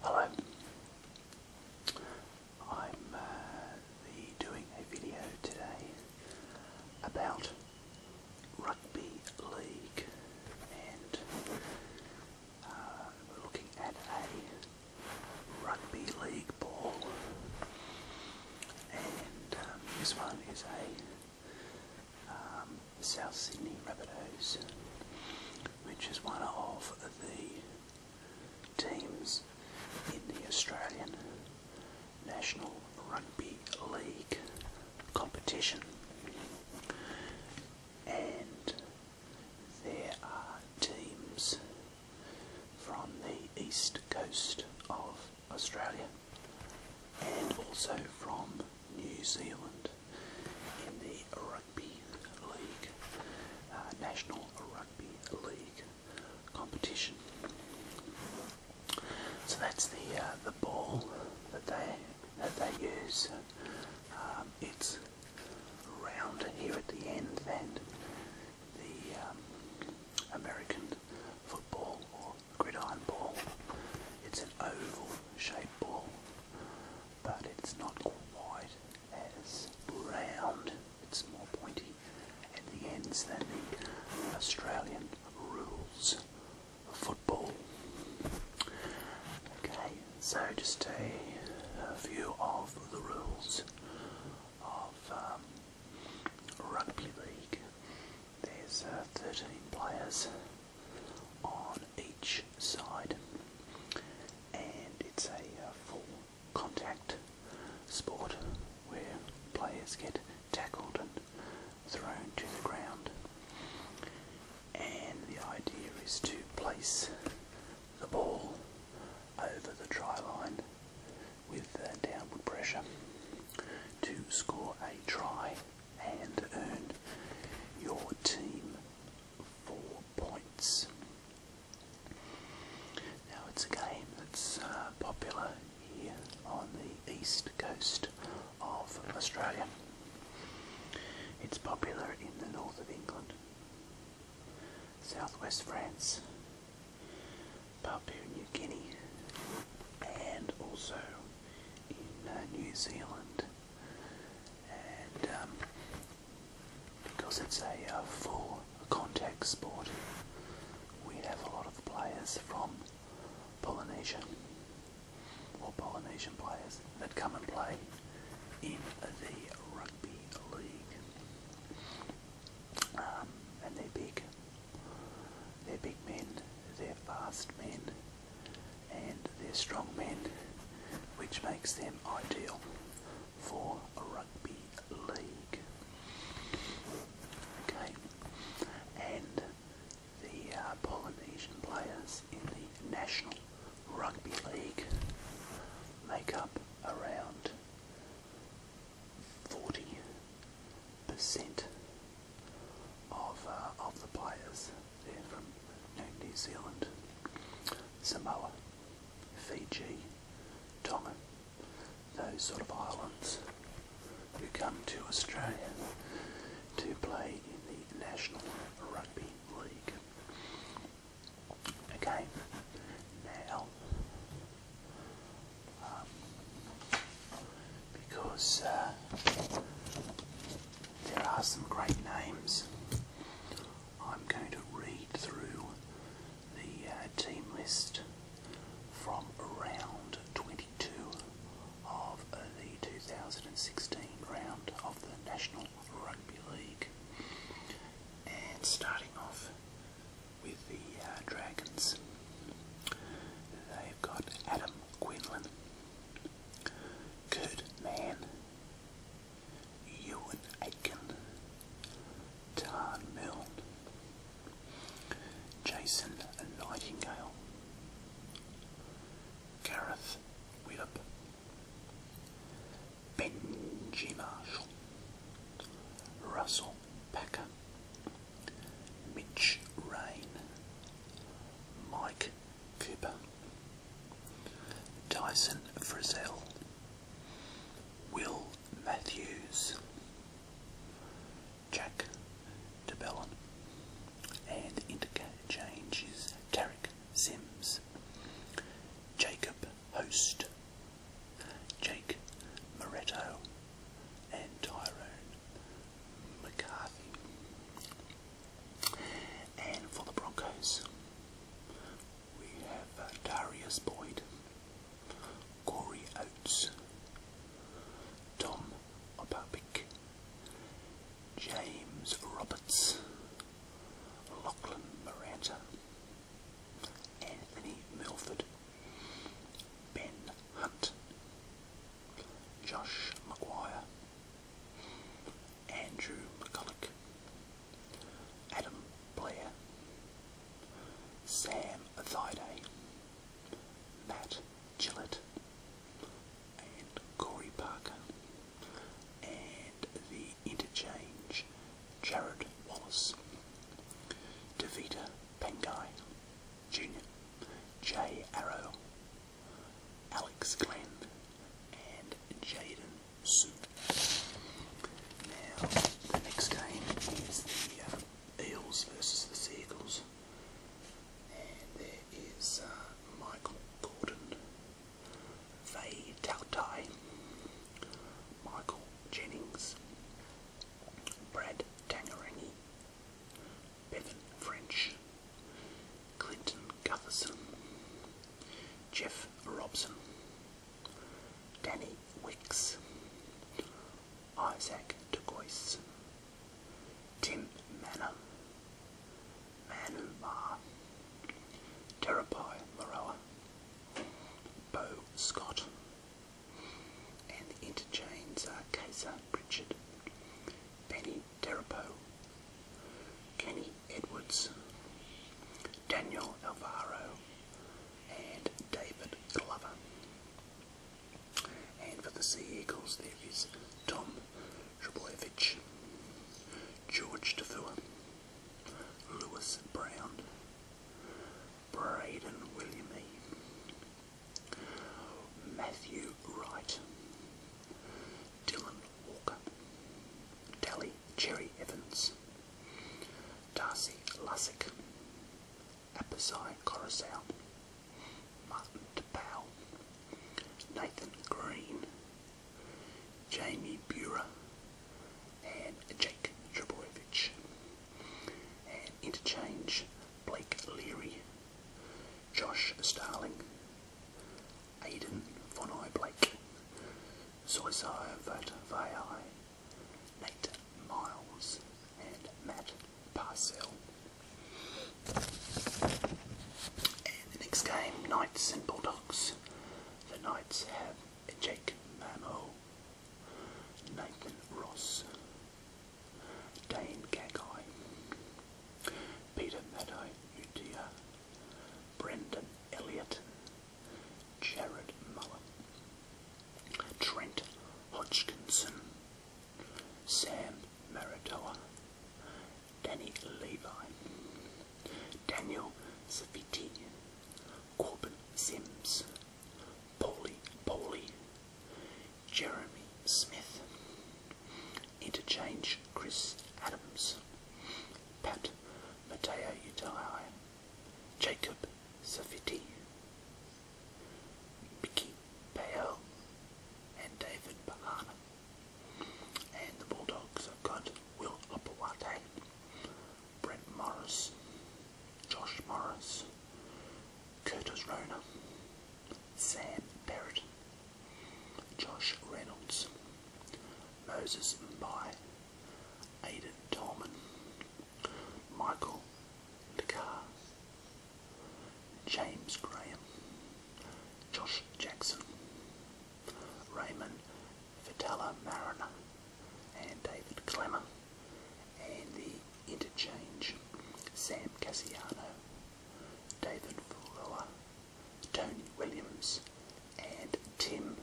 Hello. I'm uh, doing a video today about rugby league and uh, we're looking at a rugby league ball and um, this one is a um, South Sydney Rabbitohs, which is one of the teams in the Australian National Rugby League competition. And there are teams from the east coast of Australia and also from New Zealand in the Rugby League, uh, National Rugby League competition. So that's the uh, the ball that they that they use. Um, it's round here at the end than the um, American football gridiron ball. It's an oval shaped ball, but it's not quite as round. It's more pointy at the ends than the Australian rules football. Okay, so just a, view of the rules of um, rugby league. There's uh, 13 players on each side, and it's a uh, full contact sport where players get tackled and thrown to the ground. And the idea is to place the ball over the try line with uh, downward pressure to score a try and earn your team four points. Now it's a game that's uh, popular here on the east coast of Australia. It's popular in the north of England, southwest France, Papua New Guinea and also in uh, New Zealand. And um, because it's a uh, full contact sport, we have a lot of players from Polynesia or Polynesian players that come and play in the rugby league. Um, and they're they're big men, they're fast men, and they're strong men, which makes them ideal for a rugby league. Okay, and the uh, Polynesian players in the National Rugby League make up around 40 percent of uh, of the players there from New Zealand, Samoa, Fiji, Tonga, those sort of islands who come to Australia to play in the National Rugby League. Okay, now um, because uh, there are some great names. I'm going to read through the uh, team list from round 22 of the 2016 round of the National Rugby League. And starting off with the uh, Dragons. They've got Adam Quinlan, Kurt Mann, Ewan Aitken, Tarn Milne, Jason Nightingale, Gareth Widdop, Benji Marshall, Russell Packer, Mitch Rain, Mike Cooper, Tyson Frizell, Will Matthews, Jack DeBellin, and interchange is Tarek Sims, Jacob Host, Jake Moretto, and Tyrone McCarthy. And for the Broncos, we have uh, Darius Boyd, Corey Oates, Tom Opapic, James Roberts, Lachlan Moranta, Anthony Milford, Ben Hunt, Josh McGuire, Andrew McCulloch, Adam Blair, Sam Thaiday, Matt Gillett, and Corey Parker, and the interchange Jared Wallace, Davita Pengai, Jr., Jay Arrow, Alex Glenn, and Jaden Sue. Now, the next game is the uh, Eels versus the Seagulls, and there is uh, Michael Gordon, Faye Tautai, Michael Jennings, Brad Tangerangi, Bevan French, Clinton Gutherson, Jeff Robson, Danny Wicks, Isaac De DeGoyce, Tim Manor, Manu Mar, Terapai Moroa, Scott, and the interchanges are Kaiser Richard, Penny Terapo, Kenny Edwards, Daniel Alvaro, and David Glover. And for the Sea Eagles, there is Tom Shublovich, George Tafua, Lewis Brown, Braden William Matthew Wright, Dylan Walker, Tally Cherry Evans, Darcy Lussick, Apasai Coruscant, Martin DePau, Nathan Green, Jamie Bura, and Jake Trebojevic. And interchange, Blake Leary, Josh Starling, Aidan Von Eye Blake, Zoisai Vatvai, Nate Miles, and Matt Parcell. And the next game, Knights and Bulldogs. The Knights have Jake Mammo. Nathan Ross, Dane Gagai, Peter Maddow Utia, Brendan Elliott, Jared Muller, Trent Hodgkinson, Sam Maratoa, Danny Levi, Daniel Saviti, Corbin Sims, Paulie Paulie, Jeremy Smith, Interchange Chris Adams, Pat Matteo Utai, Jacob Saviti, Mickey Payel, and David Bahana. And the Bulldogs have got Will Opawate, Brett Morris, Josh Morris, Curtis Rona, Sam Perrott, Josh Reynolds, Moses Mbai, Aidan Tolman, Michael Dakar, James Graham, Josh Jackson, Raymond Vitella Mariner and David Clemmer, and the interchange Sam Cassiano, David Fuller, Tony Williams, and Tim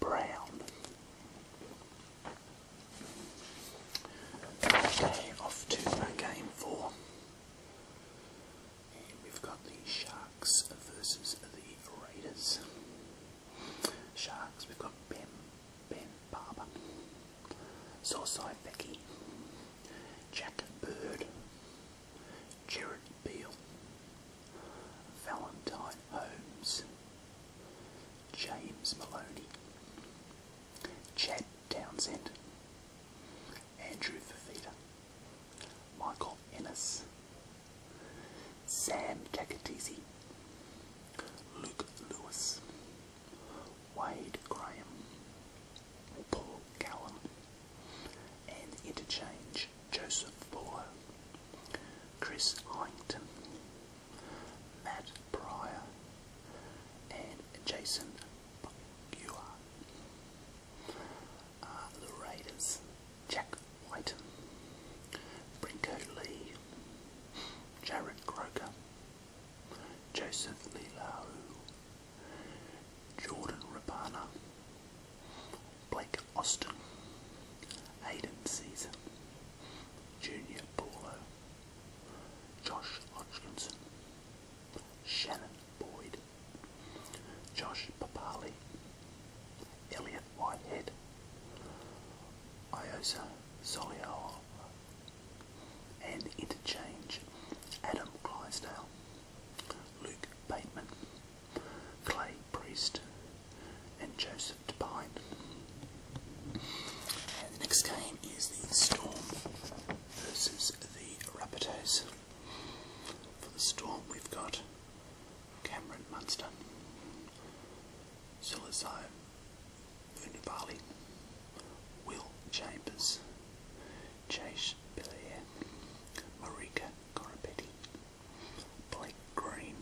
Brown. off to game four. we've got the Sharks versus the Raiders. Sharks, we've got Ben, Ben Barber, Sourceye Becky, Jack Bird, Jared Beale, Valentine Holmes, James Maloney, Chad Townsend, Andrew Fafita, Michael Ennis, Sam Kakatisi, Luke Lewis, Wade Graham, Paul Callum, and Interchange Joseph Fuller, Chris Hyington, Matt Pryor, and Jason Bucua are uh, the Raiders. Jack White, Brinko Lee, Jared Croker, Joseph Lilau, Jordan Rapana, Blake Austin, Aiden Caesar, Junior Paulo, Josh Hodgkinson, Shannon Boyd, Josh Papali, Elliot Whitehead, Iosa Soliol, and Interchange, Adam Clydesdale, Luke Bateman, Clay Priest, and Joseph Devine. And the next game is the Storm versus the Rapatos. For the Storm, we've got Cameron Munster, Sulizo Univali, Will Chambers, Chase Belair, Marika Corapetti, Blake Green,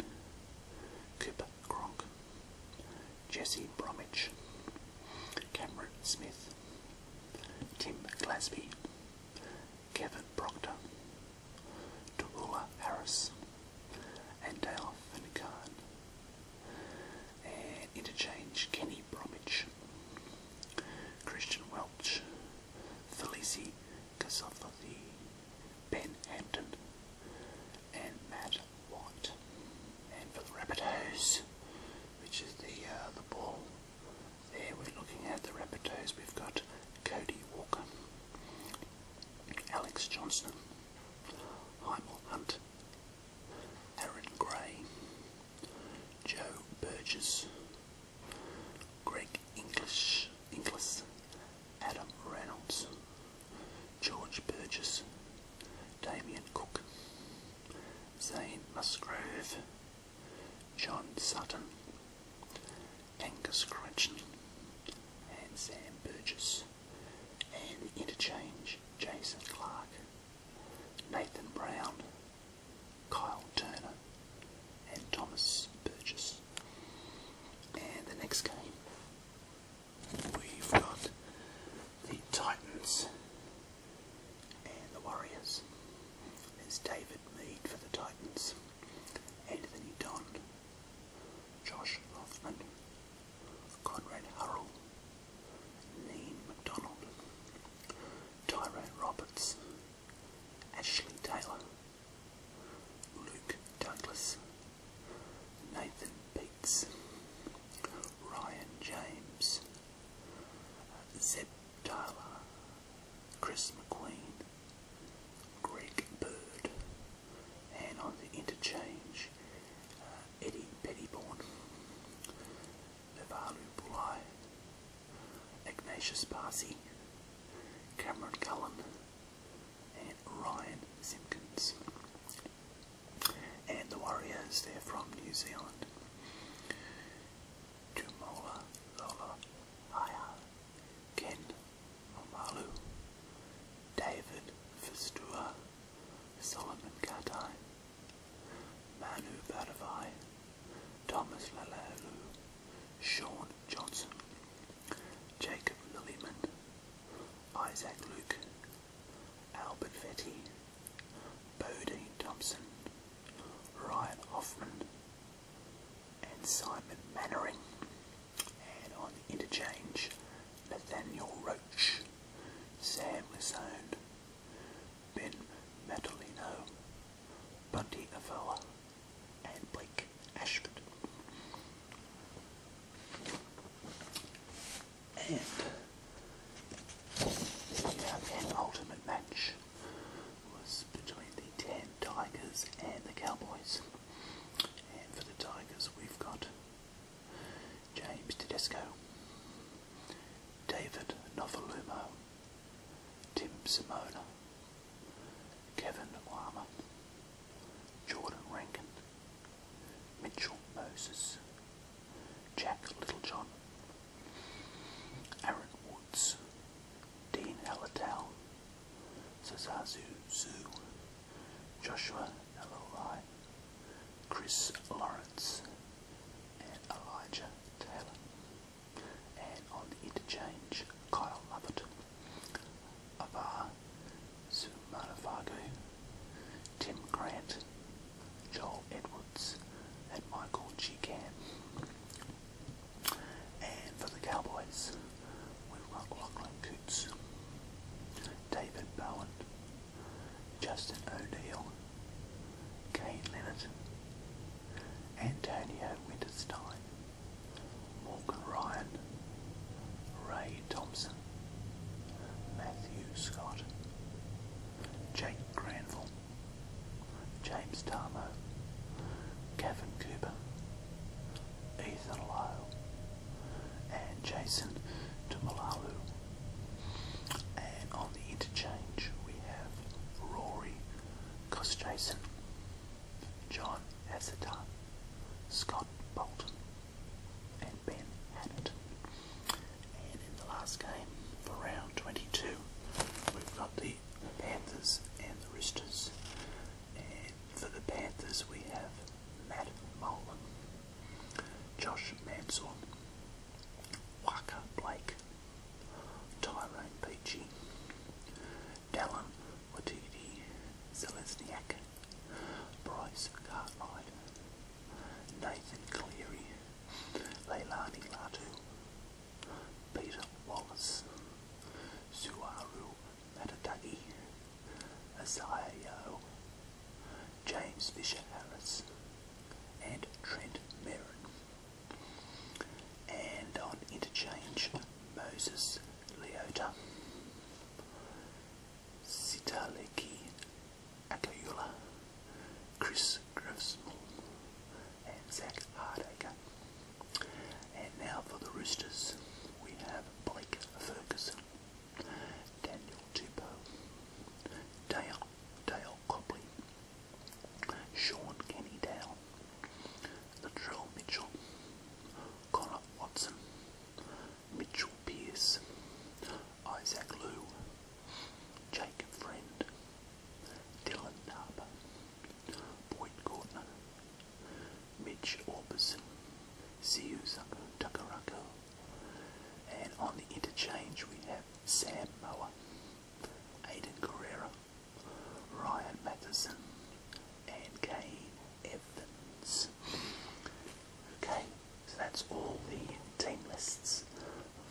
Cooper Gronk, Jesse Bromwich, Cameron Smith, Tim Glasby, Kevin Proctor, Tallulah Harris, and Dale Finnegan, and eh, interchange Kenny Bromwich, Christian Welch, Felice Casofoli, Ben Hampton, and Matt White. And for the Rabbitohs, which is the uh, the ball here we're looking at the rapporteurs. We've got Cody Walker, Alex Johnson, Heimel Hunt, Aaron Gray, Joe Burgess, Greg English, Inglis, Adam Reynolds, George Burgess, Damien Cook, Zane Musgrove, John Sutton, Angus Crutchin, and Sam Burgess, and Interchange Jason Clark, Nathan Brown, Kyle Turner, and Thomas Burgess. And the next game, we've got the Titans and the Warriors. There's David Mead for the Titans. Anthony Don. Josh Hoffman. Conrad Hurrell. Neen McDonald. Tyrone Roberts. Ashley Taylor. Luke Douglas. Nathan Bates, Ryan James. Uh, Zeb Tyler, Chris McQueen, Greg Bird, and on the interchange, uh, Eddie Pettyborn, Levalu Bulai, Ignatius Parsi, Cameron Cullen, and Ryan Simpkins. And the Warriors, they're from New Zealand. Jumola Lola Haya, Ken Omalu, David Fistua, Solomon Katai, Manu Badavai, Thomas Lalalu, Sean Johnson, Jacob Lilliman, Isaac Luke, Albert Vetti, Bodine Thompson, Ryan Hoffman, and Simon Mannering, and on the interchange, Nathaniel Roach, Sam Lison, Ben Metalino, Buddy Avella, and Blake Ashford and the penultimate match was between the Tan Tigers and the Cowboys. And for the Tigers, we've got James Tedesco, David Novalumo, Tim Simona, Kevin Wama, Jordan Rankin, Mitchell Moses, Jack Littlejohn, Aaron Woods, Dean Ellertown, Zazazu Zoo, Joshua Eloi, Chris Lawrence, and Elijah Taylor. And on the interchange, Kyle Lovett, Abar Sumanafago, Tim Grant, Joel Edwards, and Michael Cheekan. And for the Cowboys, we've got Lachlan Coots, David Bowen, Justin O'Dea, Kane Leonard, Antonio Winterstein, Morgan Ryan, Ray Thompson, Matthew Scott, Jake Granville, James Darmo, Kevin Cooper, Ethan Lowe, and Jason Tumalalu. And on the interchange we have Rory Cosjason, John Atherton, Scott Bolton, and Ben Hannett. And in the last game for round 22, we've got the Panthers and the Roosters. And for the Panthers, we have Matt Mullen, Josh Mansell, Waka Blake, Tyrone Peachy, Dallin Watiti, Zelesniak, Bryce Cartwright, Nathan Cleary, Leilani Latu, Peter Wallace, Suaru Matadaki, Asayo, James Fisher Harris, and Trent Merrin. And on interchange, Moses Leota, Sita Sitaleki Akayula, Chris Griffsmall, and Zach Hardacre. And now for the Roosters, we have Blake Ferguson, Daniel Tupou, Dale, Dale Copley, Sean Kenny Dale, Latrell Mitchell, Connor Watson, Mitchell Pearce, Isaac Liu, Jacob Friend, Dylan Harper, Boyd Gordner, Mitch Orbison, Siu Takarako, and on the interchange we have Sam Moa, Aiden Carrera, Ryan Matheson, and Kane Okay, so that's all the team lists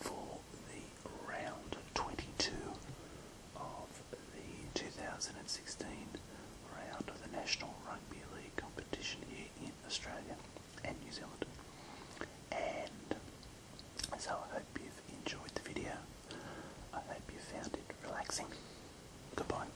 for the round 22 of the 2016 round of the National Rugby League competition here in Australia and New Zealand. And so I hope you've enjoyed the video. I hope you found it relaxing. Goodbye.